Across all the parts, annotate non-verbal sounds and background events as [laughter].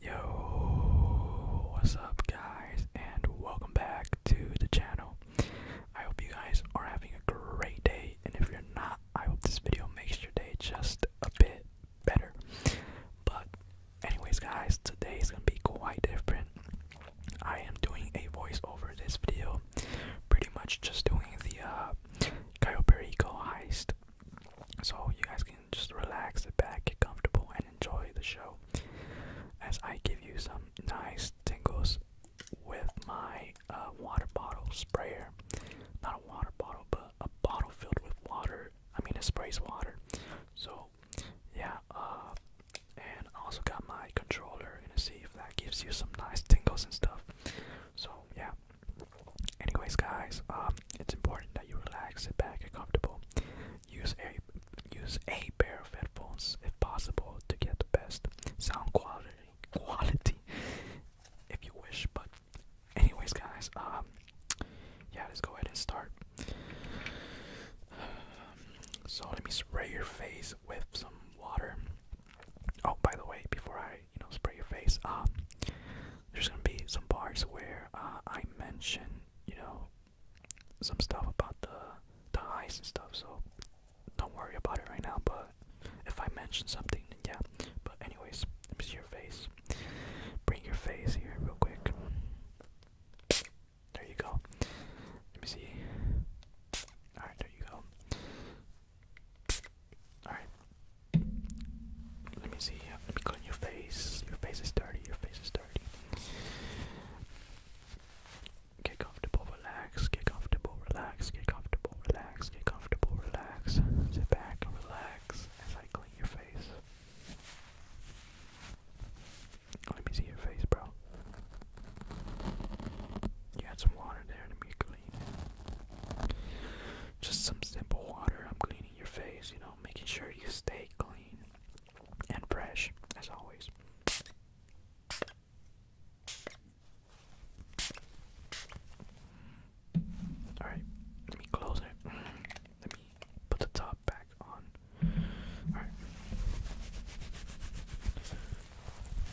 Yo, what's up, guys, and welcome back to the channel. I hope you guys are having a great day, and if you're not, I hope this video makes your day just a bit better. But, anyways, guys, today is gonna be quite different. I am doing a voiceover this video pretty much just doing the uh, Cayo Perico heist. So you guys can just relax, sit back, get comfortable, and enjoy the show as I give you some nice tingles with my uh, water bottle sprayer. Not a water bottle, but a bottle filled with water. I mean, it sprays water. So, yeah, uh, and I also got my controller and see if that gives you some nice tingles and stuff. So, yeah. Anyways, guys, um, it's important that you relax, sit back, and comfortable. Use a use a pair of headphones if possible to get the best sound quality quality if you wish. But anyways, guys, um, yeah, let's go ahead and start. so let me spray your face with some water. Oh, by the way, before I you know spray your face, um, there's gonna be some parts where uh, I mention you know some stuff about the the eyes and stuff. So don't worry about it right now. But if I mention something, yeah. But anyways, let me see your face. Bring your face here real quick. There you go. Let me see. Alright, there you go. Alright. Let me see. Let me clean your face. Your face is dirty. Your face is dirty. Get comfortable, relax. Get comfortable, relax. Get comfortable, relax. Get comfortable, relax. Sit back relax as I clean your face. Let me see your face, bro. You had some water there to be clean. Just some simple water. I'm cleaning your face, you know, making sure you stay clean and fresh, as always. Alright, let me close it. Let me put the top back on. Alright.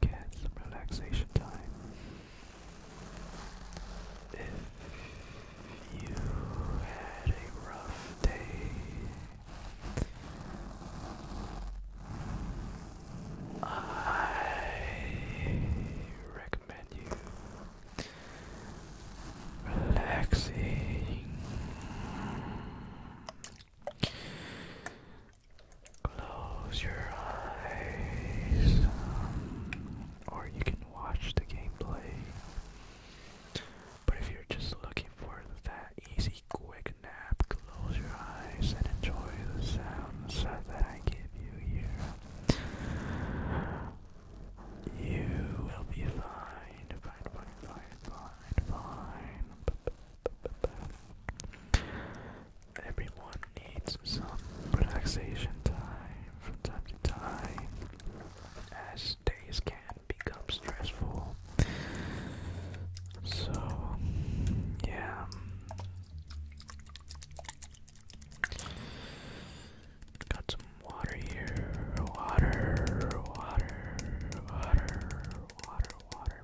get some relaxation time. If you had a rough day, I recommend you relaxing. Close your eyes, or you can watch the gameplay. But if you're just looking for that easy, quick nap, close your eyes and enjoy the sounds that I give you here. You will be fine, fine, fine, fine, fine, Everyone needs some relaxation time from time to time, as days can become stressful. So, yeah. Got some water here. Water, water, water, water, water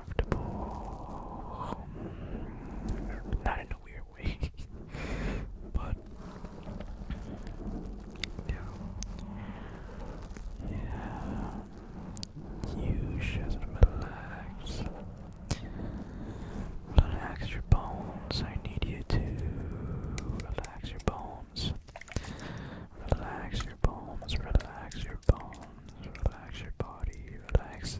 uncomfortable. Not in a weird way, [laughs] but yeah, yeah. You should relax. Relax your bones. I need you to relax your bones. Relax your bones, relax your bones, relax your body, relax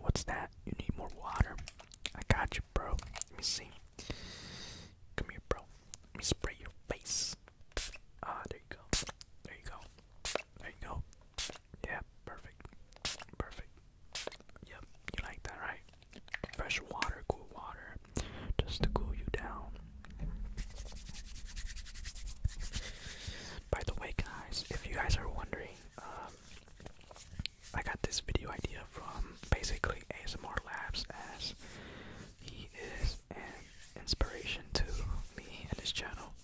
What's that? You need more water? I got you, bro. Let me see. Come here, bro. Let me spray your face. Ah, there you go. There you go. There you go. Yeah, perfect. Perfect. Yep, you like that, right? Fresh water, cool water, just to cool you down. By the way, guys, if you guys are wondering, um, I got this video idea from basically ASMR Labs as he is an inspiration to me and his channel.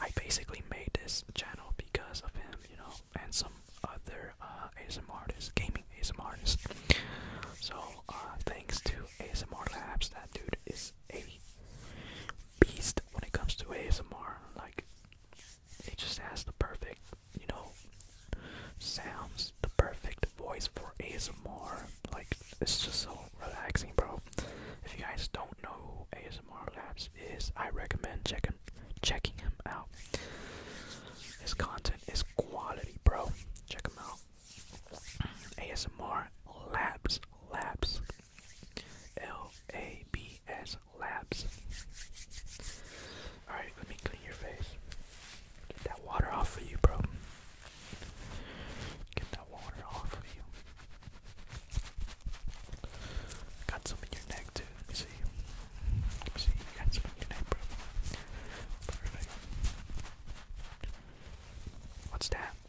I basically made this channel because of him, you know, and some other uh, ASMR artists, gaming ASMR artists. So uh, thanks to ASMR Labs, that dude is a beast when it comes to ASMR. Like it just has the perfect, you know, sounds, the perfect voice for ASMR. Like, it's just so relaxing, bro. If you guys don't know who ASMR Labs is, I recommend checking checking him out. His content is quality, bro. Check him out. ASMR Labs, Labs, LABS Labs. Alright, let me clean your face. Get that water off of you, bro. Get that water off of you. Got some in your neck, too. see. see. got some in your neck, bro. Perfect. What's that?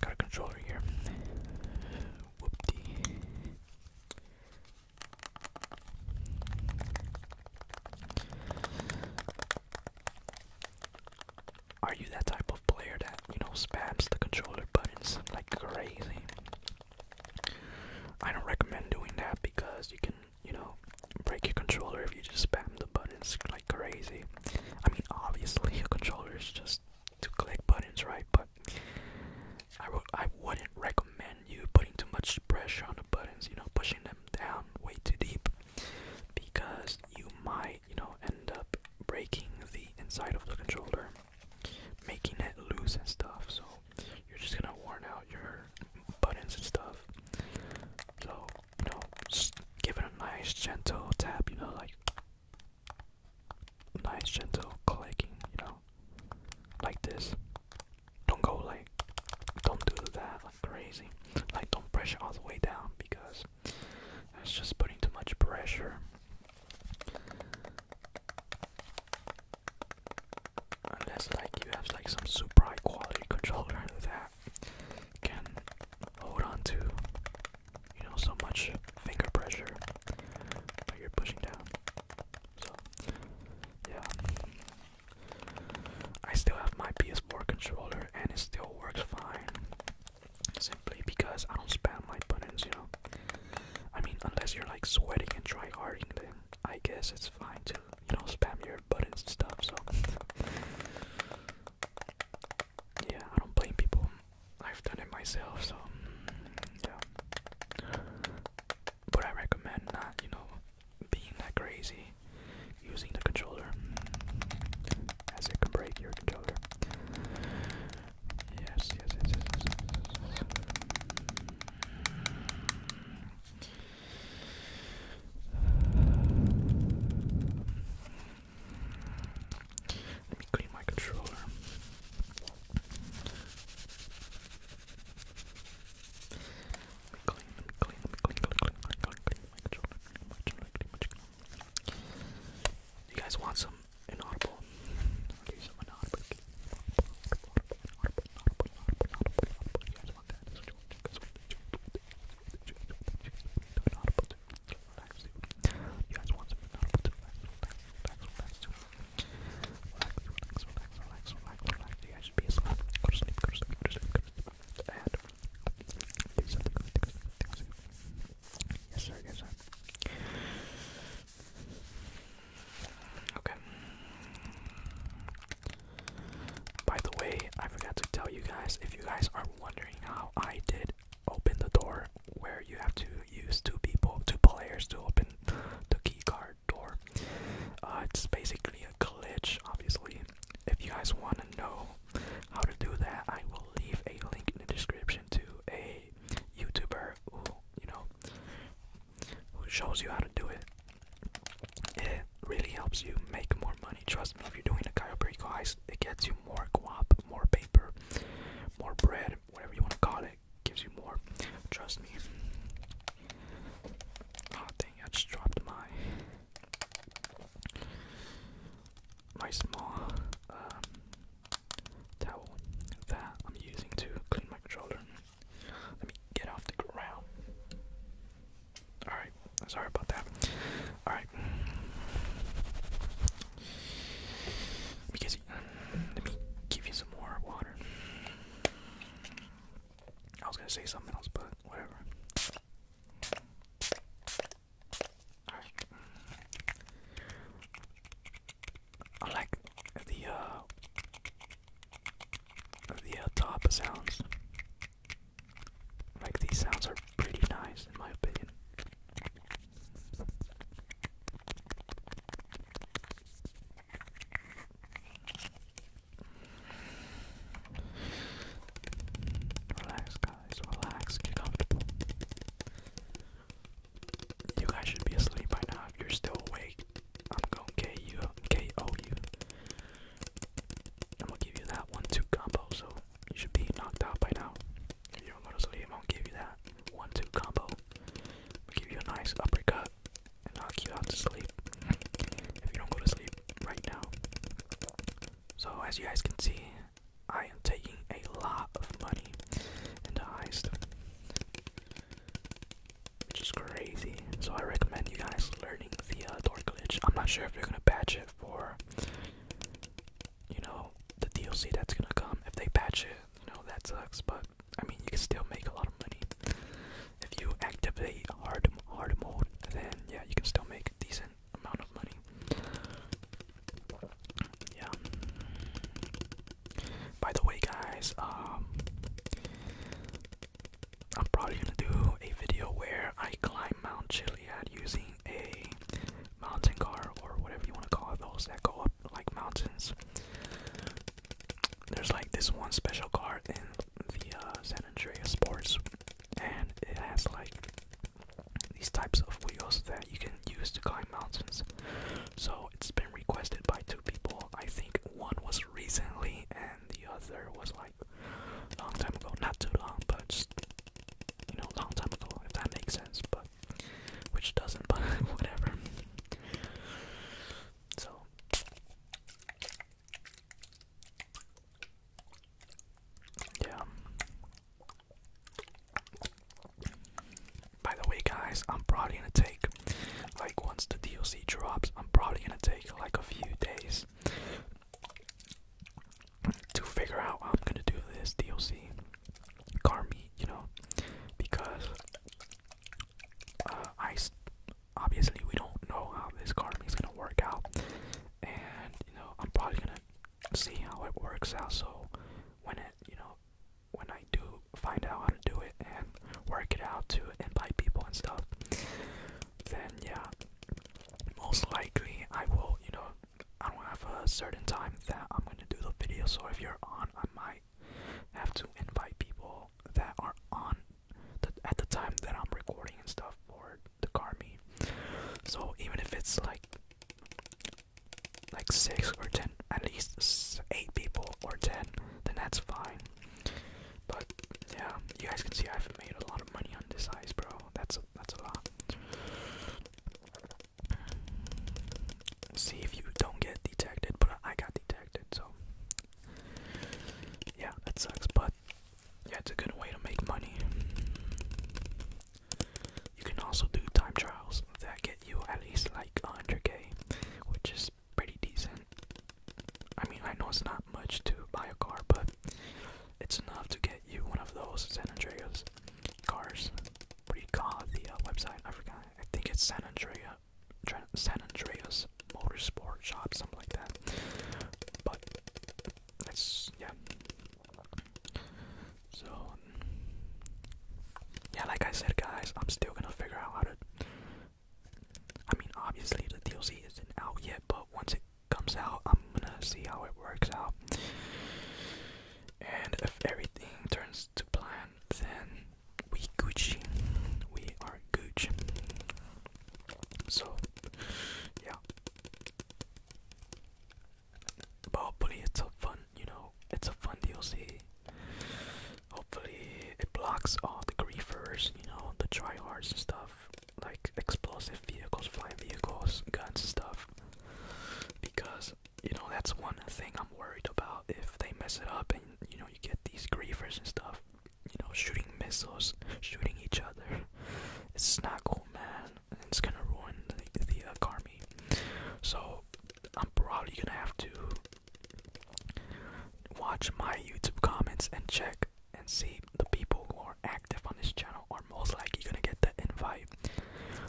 Got a controller here. Whoopty. Are you that type of player that, you know, spams the controller buttons like crazy? I don't recommend doing that because you can, you know, break your controller if you just spam the buttons crazy. I mean, obviously a controller is just to click buttons, right? But I would I wouldn't recommend you putting too much pressure on the buttons. You know, pushing them down way too deep because you might you know end up breaking the inside of the controller, making it loose and stuff. So you're just gonna worn out your buttons and stuff. So you know, just give it a nice gentle tap, you know, like nice gentle clicking, you know, like this. Don't go like, don't do that like crazy. Like, don't pressure all the way down because that's just putting too much pressure. Unless like you have like some super high quality controller that can hold on to, you know, so much finger pressure you're pushing down. So, yeah. I still have my PS4 controller and it still works fine. Simply because I don't spam my buttons, you know. I mean, unless you're like sweating and try harding, then I guess it's fine to, you know, spam your buttons and stuff. So, [laughs] yeah, I don't blame people. I've done it myself, so mm, yeah. But I recommend not, you know, being that crazy using the controller, mm, as it can break your controller. Yes, yes, yes, yes, yes, yes, let me clean my controller. Let clean, clean, clean, clean, clean, clean, clean my controller. My controller, clean my You guys want some inaudible? I'll some inaudible guys want that. That's what you want. You guys want that. You guys want that. You guys want that. You guys want that. You guys want that. Relax, relax, relax, relax, relax. You guys should be asleep. Go to sleep, go to sleep, go to sleep, go to sleep. And do something. Yes, sir, yes, sir. Okay. By the way, I forgot to tell you guys if you guys are wondering how I did open the door where you have to use two people, two players to open the keycard door. Uh, it's basically a glitch, obviously. If you guys want to know how to do that, I will leave a link in the description to a YouTuber who, you know, who shows you how to do it it really helps you make more money. Trust me, if you're doing a Chiroprico guys, it gets you more guap, more paper, more bread, whatever you want to call it. Gives you more. Trust me. Oh dang! I just dropped my my small um, towel that I'm using to clean my controller. Let me get off the ground. Alright, sorry about that. Alright. Because let me give you some more water. I was gonna say something else, but whatever. Alright. I like the uh the uh, top sounds. Like these sounds are pretty nice in my opinion. Relax guys, relax, get comfortable. You guys should be asleep by now if you're still awake. I'm gonna KO you. I'm gonna give you that one two combo, so you should be knocked out by now. If you don't go to sleep, I'm gonna give you that one two combo. I'll give you a nice uppercut and knock you out to sleep. If you don't go to sleep right now. So as you guys can see, I am taking a lot of money into heist which is crazy. So I recommend you guys learning the uh, door glitch. I'm not sure if they're gonna patch it for, you know, the DLC that's gonna come. If they patch it, you know, that sucks. But I mean, you can still make a lot of money if you activate hard hard mode. Then yeah, you can still make a decent amount of money. Yeah. By the way, guys, um, I'm probably gonna do a video where I climb Mount Chiliad using a mountain car or whatever you want to call it, those that go up like mountains. There's like this one special car in the uh, San Andreas Sports, and it has like these types of wheels that you can use to climb mountains. So it's been requested by two people. I think one was recently, and the other was like a long time ago. Not too long, but just you know, long time ago, if that makes sense, but which doesn't, [laughs] but whatever. So yeah. By the way, guys, I'm probably going take like once the DLC drops, I'm probably gonna take like a few days to figure out I'm gonna do this DLC car meet, you know, because uh, I obviously we don't know how this car meet is gonna work out, and you know I'm probably gonna see how it works out. So when it, you know, when I do find out how to do it and work it out to invite people and stuff, then yeah, most likely I will, you know, I don't have a certain time that I'm gonna do the video, so if you're on, I might have to invite people that are on the, at the time that I'm recording and stuff for the car Garmin. So even if it's like like six or ten, at least eight people or ten, then that's fine. But yeah, you guys can see I've made a lot of money on this size, bro. That's that's a lot. See if you don't get detected, but I got detected, so yeah, that sucks. But yeah, a good way to make money. You can also do time trials that get you at least like 100k, which is pretty decent. I mean, I know it's not much to buy a car, but it's enough to get you one of those San Andreas cars. What do you call the uh, website? I forgot. I think it's San Andreas, San Andreas Motorsport Shop, something like that. But that's yeah. So yeah, like I said, guys, I'm still gonna figure out how to I mean, obviously the DLC isn't out yet, but once it comes out, I'm gonna see how it works out. And if everything turns to plan, then we Gucci, we are Gucci. So, yeah. But hopefully, it's a fun, you know, it's a fun DLC. Hopefully, it blocks all the griefers, you know, the try hards and stuff, like explosive vehicles, flying vehicles, guns and stuff. Because, you know, that's one thing I'm worried about if they mess it up and, you know, you get these griefers and stuff, you know, shooting missiles, shooting each other. It's not cool, man. It's gonna ruin the, uh, army. So, I'm probably gonna have to Watch my YouTube comments and check and see the people who are active on this channel are most likely gonna get the invite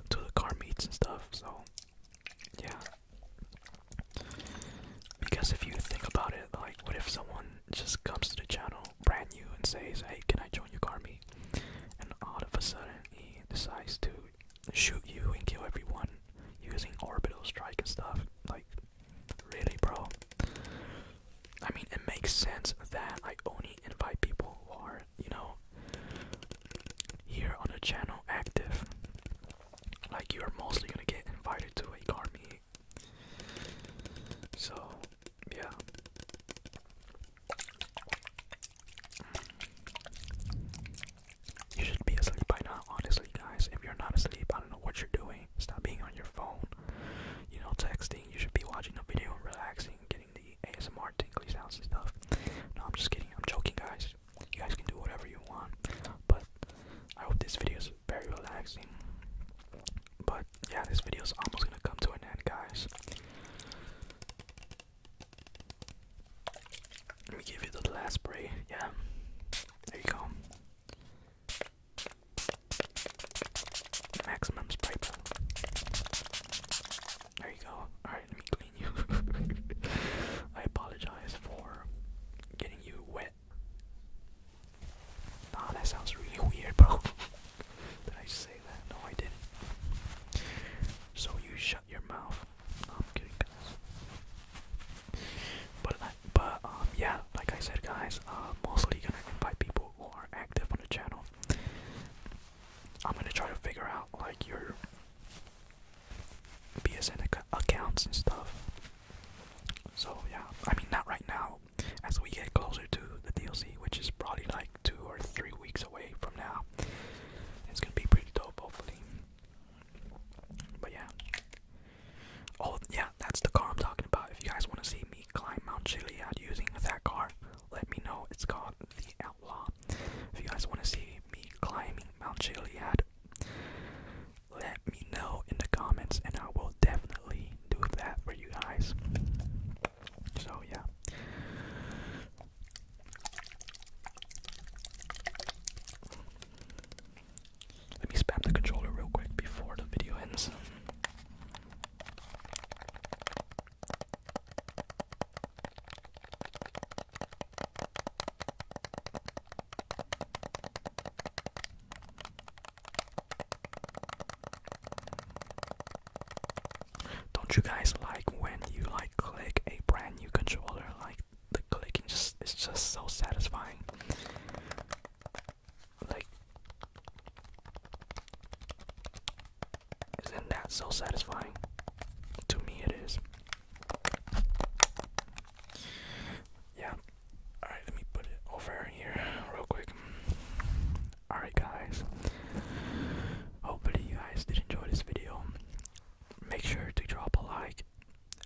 to the car meets and stuff. So, yeah. Because if you think about it, like, what if someone just comes to the channel brand new and says, "Hey, can I join your car meet?" And all of a sudden he decides to shoot you and kill everyone using orbital strike and stuff. Like, really, bro? I mean, it makes sense that I only invite people who are, you know, here on the channel active. Like, you're mostly gonna get invited to a car meet. So, yeah. You should be asleep by now, honestly, guys. If you're not asleep, I don't know what you're doing. Stop being on your phone, you know, texting. You should be watching a video, relaxing, getting the ASMR tingly sounds and stuff. No, I'm just kidding. I'm joking, guys. You guys can do whatever you want, but I hope this video is very relaxing. But yeah, this video is almost gonna come to an end, guys. Let me give you the last spray. Yeah, there you go. Maximum spray There you go. Alright, let me clean you. [laughs] I apologize for getting you wet. Nah, that sounds really weird, bro. [laughs] Did I say that? No, I didn't. So you shut your mouth. I'm kidding, guys. But, but um, yeah, like I said, guys, uh, mostly gonna invite people who are active on the channel. I'm gonna try to figure out like your BSN accounts and stuff. So yeah, I mean not right now. As we get closer to the DLC, which is probably like two or three weeks away from now. It's gonna be pretty dope, hopefully. But yeah. Oh yeah, that's the car I'm talking about. If you guys want to see me climb Mount Chiliad using that car, let me know. It's called the Outlaw. If you guys want to see me climbing Mount Chiliad, let me know in the comments, and I will definitely do that for you guys. So yeah. Let me spam the controller real quick before the video ends. Don't you guys like when you like click a brand new controller, like the clicking just is just so satisfying. Like, isn't that so satisfying? To me, it is. Yeah. Alright, let me put it over here real quick. Alright, guys. Hopefully you guys did enjoy this video. Make sure to drop a like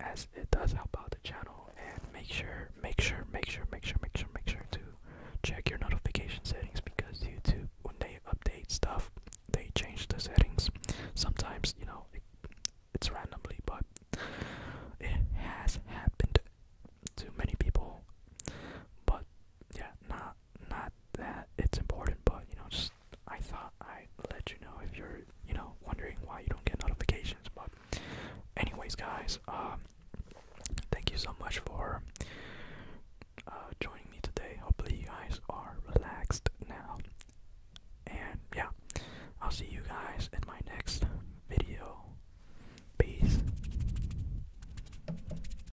as it does help out the channel and make sure make sure make sure make sure make sure make sure to check your notification settings because YouTube when they update stuff they change the settings. Sometimes, you know, it's randomly but it has happened to many people. But yeah, now not that it's important, but you know, just I thought I'd let you know if you're you know wondering why you don't get notifications. But anyways, guys, um, thank you so much for uh, joining me today. Hopefully, you guys are relaxed now, and yeah, I'll see you guys in my next video. Peace.